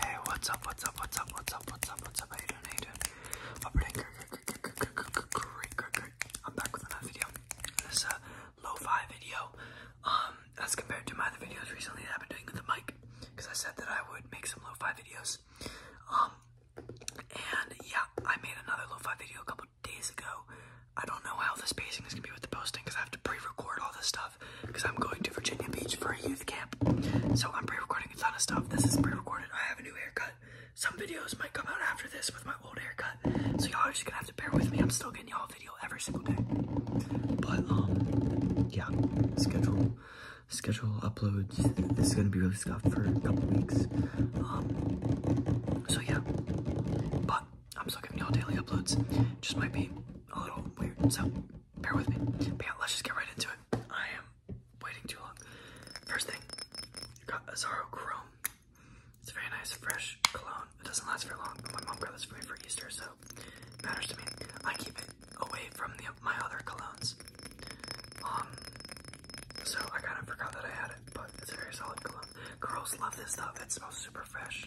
Hey, what's up, what's up, what's up, what's up, what's up, what's up, how you doing, how you doing? Great, I'm back with another video. This is a lo-fi video, as compared to my other videos recently that I've been doing with the mic, because I said that I would make some low fi videos. and yeah, I made another low fi video a couple days ago. I don't know how the spacing is gonna be with the posting because I have to pre-record all this stuff because I'm going to Virginia Beach for a youth camp. So I'm pre-recording a ton of stuff. This is pre-recorded. I have a new haircut. Some videos might come out after this with my old haircut. So y'all are just gonna have to bear with me. I'm still getting y'all a video every single day. But um yeah, schedule schedule uploads. This is gonna be really stuffed for a couple weeks. Um so yeah. But I'm still giving y'all daily uploads. Just might be a little weird. So bear with me. yeah, let's just get right into it. I am waiting too long. First thing, got Azaro Chrome. It's very nice, fresh cologne. It doesn't last very long, but my mom got this for me for Easter, so it matters to me. I keep it away from my other colognes. Um, so I kind of forgot that I had it, but it's very solid cologne. Girls love this stuff. It smells super fresh.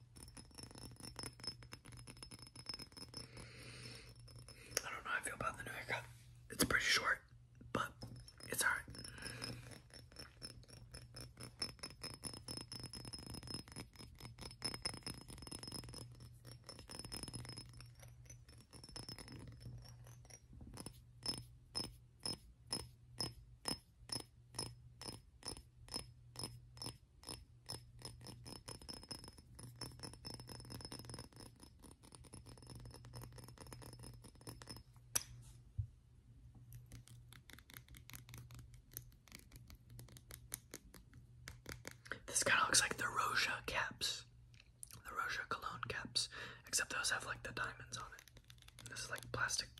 I don't know how I feel about the new haircut. It's pretty short, but it's alright. This kind of looks like the Roja caps, the Roja cologne caps, except those have like the diamonds on it. This is like plastic.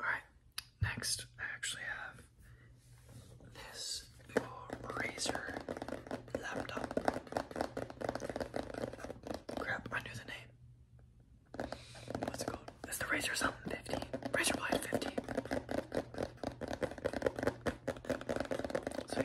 Alright, next I actually have this old Razer laptop. Crap, I knew the name. What's it called? It's the Razor something 50. Razor Blade 50. So yeah.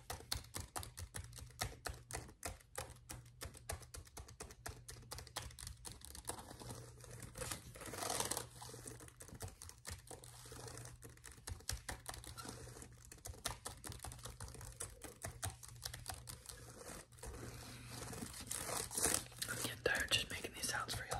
I'm getting tired just making these sounds for y'all.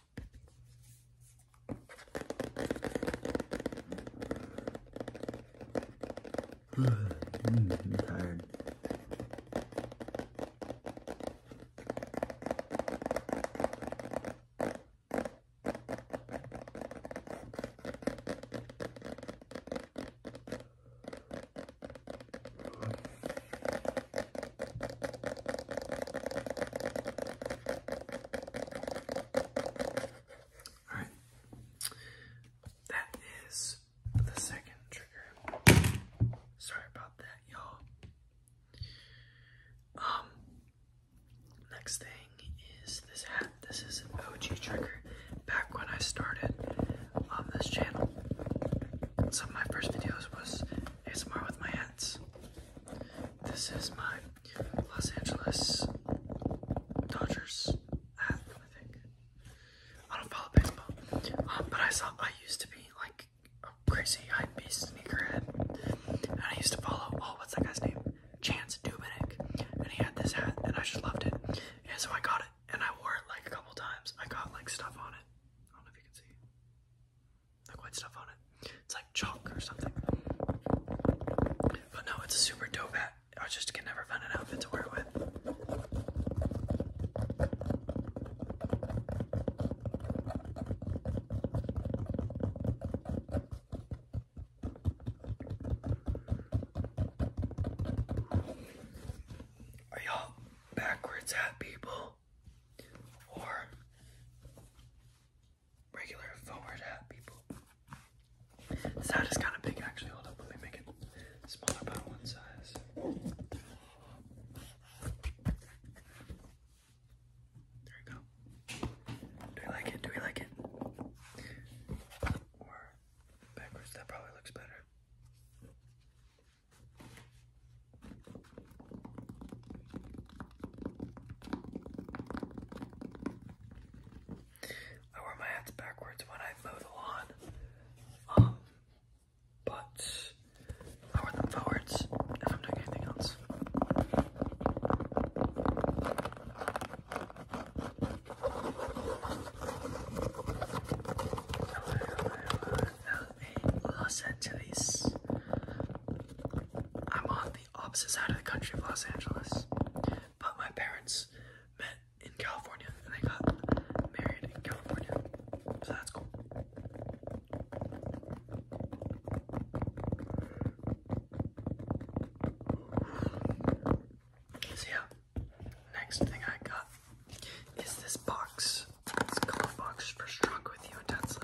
mm, I'm tired. All right, that is the second trigger. Sorry about that, y'all. Um, next thing is this hat. This is an OG trigger. Back when I started on this channel, some of my first videos was ASMR with my hat. This is my Los Angeles Dodgers hat, I don't follow baseball, um, but I saw I used to be like a crazy hype beast sneakerhead, and I used to follow oh what's that guy's name? Chance Dubinick, and he had this hat, and I just loved it, and so I got it, and I wore it like a couple times. I got like stuff on it. I don't know if you can see like white stuff on it. It's like chalk or something. But no, it's a super dope hat. I just can never find an outfit to wear with. Are y'all backwards hat people? or regular forward hat people. This kind of big actually. Hold up, let me make it smaller by one size. There we go. Do we like it? Do we like it? Or backwards, that probably looks better. I wear my hats backwards when I mow the lawn, um, but I wear them forwards if I'm doing anything else. Los Angeles. I'm on the opposite side of the country of Los Angeles, but my parents met in California and they got married in California, so that's cool. So, yeah, next thing I got is this box. This color box first Struck With You Intensely.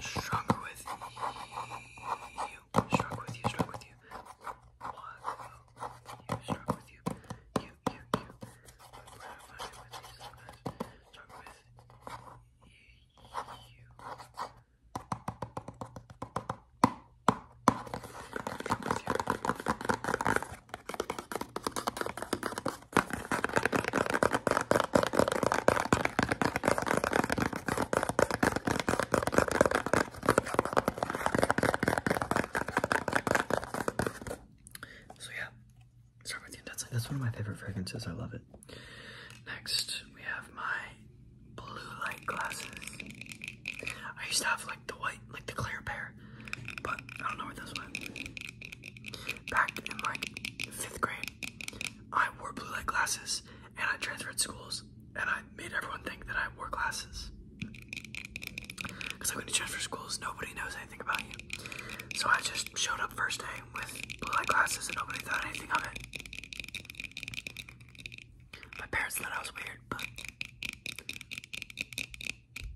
Stronger with you. Strong with you. Strong with you. What? You. Strong with you. You. You. You. But with these sometimes. Strong you. Strong with you. So yeah, start with the intense That's one of my favorite fragrances. I love it. Next, we have my blue light glasses. I used to have like the white, like the clear pair, but I don't know where this went. Back in like fifth grade, I wore blue light glasses and I transferred schools and I made everyone think that I wore glasses. Because like when you transfer schools, nobody knows anything about you. So I just showed up first day with blue light glasses and nobody thought anything of it. My parents thought I was weird, but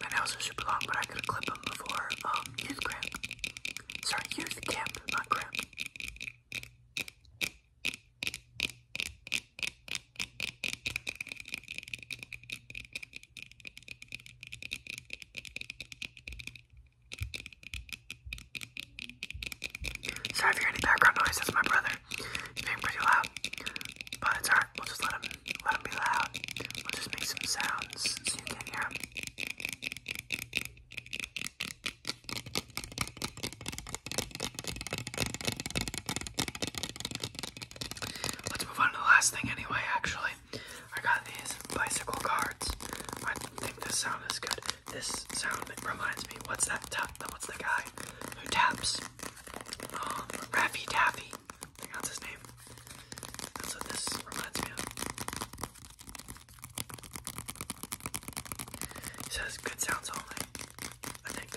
My nails are super long, but I could clip them before um, youth camp. Sorry, youth camp, not cramp. Sorry if you hear any background noise, that's my brother being pretty loud, but it's alright. We'll just let him let him be loud. We'll just make some sounds so you can hear him. Let's move on to the last thing anyway, actually. I got these bicycle cards. I think this sound is good. This sound reminds me, what's that tap? What's the guy who taps? Um, Raffy Taffy. Lee. that's his name. That's what this reminds me of. He says good sounds only. I think.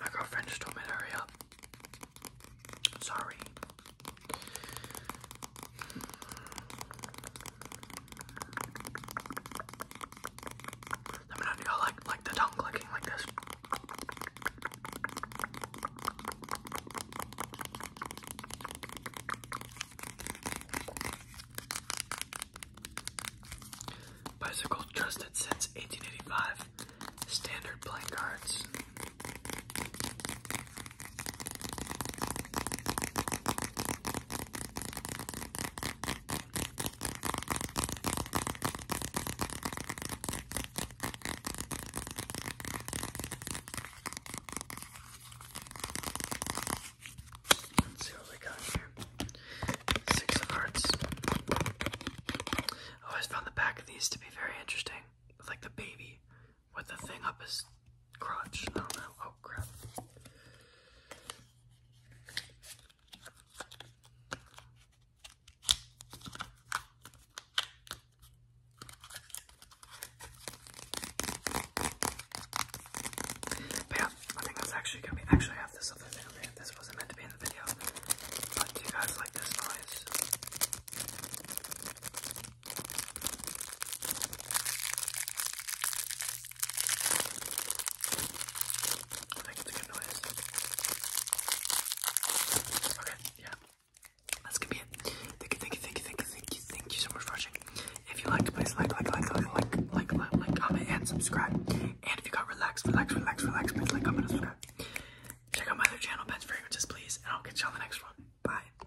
My girlfriend just told me hurry up. Sorry. I'm know if y'all like like the tongue clicking like this. Bicycle trusted since 1885. Standard playing cards. Let's see what we got here. Six of Hearts. I always found the back of these to be very interesting, like the baby with the thing up his crotch. I do Oh crap. yeah, I think that's actually gonna be. Actually, I have this other thing over This wasn't meant to be in the video. But you guys like this noise? That's gonna be it. Thank you, thank you, thank you, thank you, thank you, thank you so much for watching. If you liked, please like, like, like, like, like, like, like, comment, and subscribe. And if you got relaxed, relax, relax, relax, please like, comment, and subscribe. Check out my other channel, Ben's Fragrances, please, and I'll catch y'all in the next one. Bye.